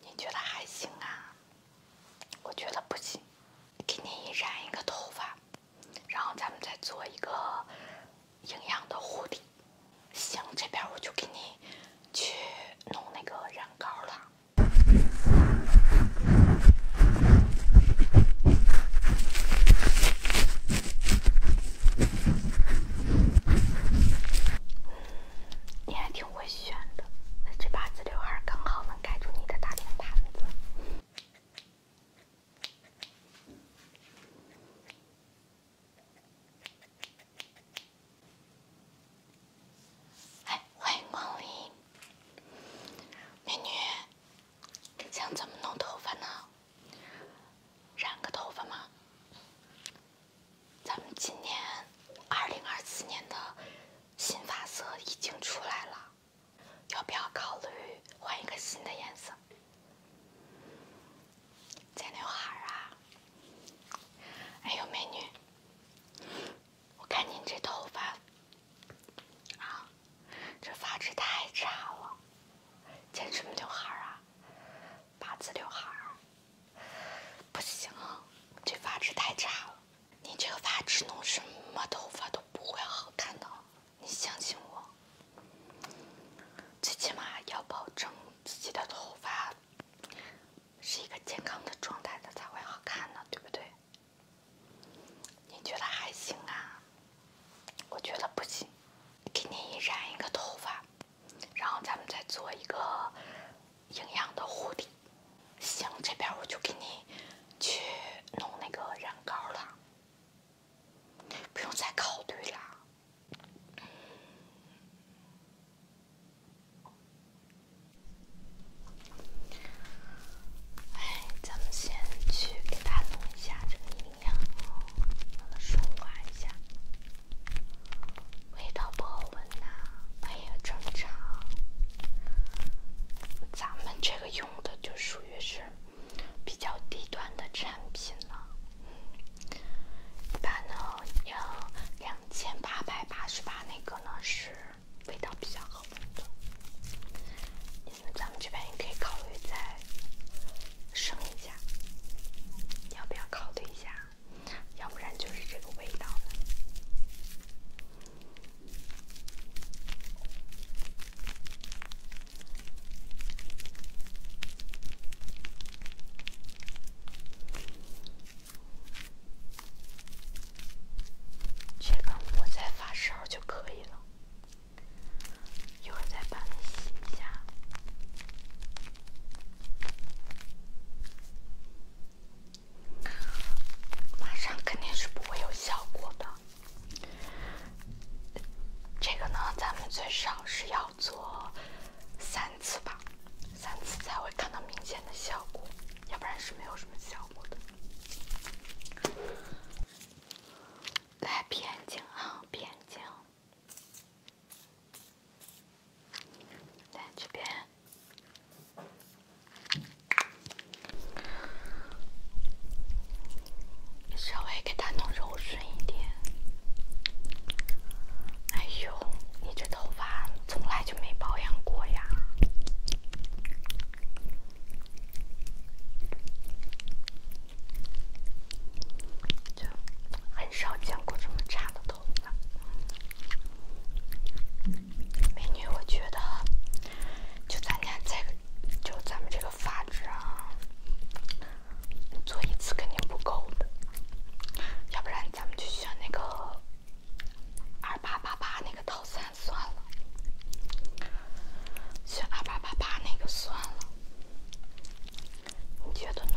你觉得还行啊？我觉得不行。给你染一个头发，然后咱们再做一个营养的护理。行，这边我就给你去弄那个染膏了。你还挺。会选的，那这八字刘海刚好能盖住你的大脸盘子。哎，欢迎光临，美女，想怎么弄头发呢？染个头发吗？咱们今年二零二四年的新发色已经出来了，要不要考虑换一个新的颜色？剪刘海儿啊？哎呦，美女，我看您这头发啊，这发质太差了，剪什么刘海儿啊？八字刘海，不行，这发质太差了。你这个发质弄什么头发都不会好看的，你相信我。最起码要保证自己的头发是一个健康的状态的才会好看呢，对不对？你觉得还行啊？我觉得不行，给你染一个头发。然后咱们再做一个营养的护理，行，这边我就给你去弄那个染膏了，不用再考虑了。哎，咱们先去给他弄一下这个营养，让他顺滑一下。味道不好闻呐，哎呀，正常。咱们这个用的就属于是比较低端的产品了。一般呢要两千八百八十八，那个呢是味道比较好闻的。咱们这边也可以考虑再升一下，要不要考虑一下？要不然就是这个味道这个我再发烧就可以了，一会儿再帮你洗一下。马上肯定是不会有效果的，这个呢，咱们最少是要做三次吧，三次才会看到明显的效果，要不然是没有什么效果的。来闭眼睛啊，闭眼睛。来，这边，稍微给它弄柔顺一点。哎呦，你这头发从来就没保养过呀，就很少见过这么差的头美女，我觉得就咱家这个，就咱们这个发质啊，做一次肯定不够的。要不然咱们就选那个二八八八那个套餐算了，选二八八八那个算了。你觉得呢？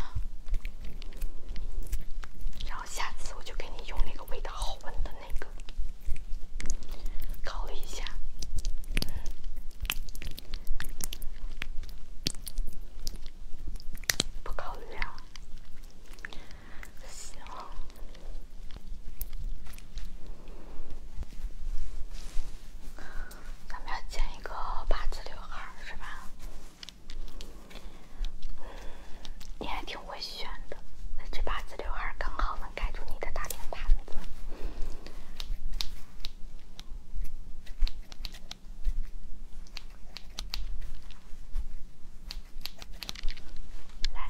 然后下次我就给你用那个味道好闻的那个，考虑一下。不考虑啊？行。咱们要剪一个八字刘海是吧？你还挺会选的，这把子刘海刚好能盖住你的大脸盘子。来。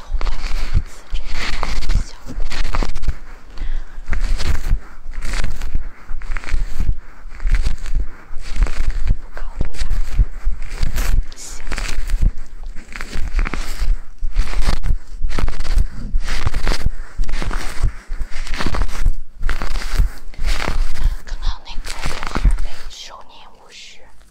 不考虑啊，不行。刚刚那个电视费收你五十。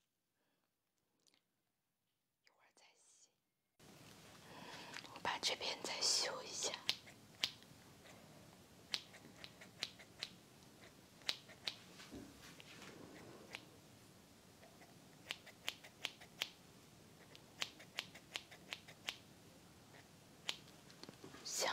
一会儿再洗，我把这边再修一下，行。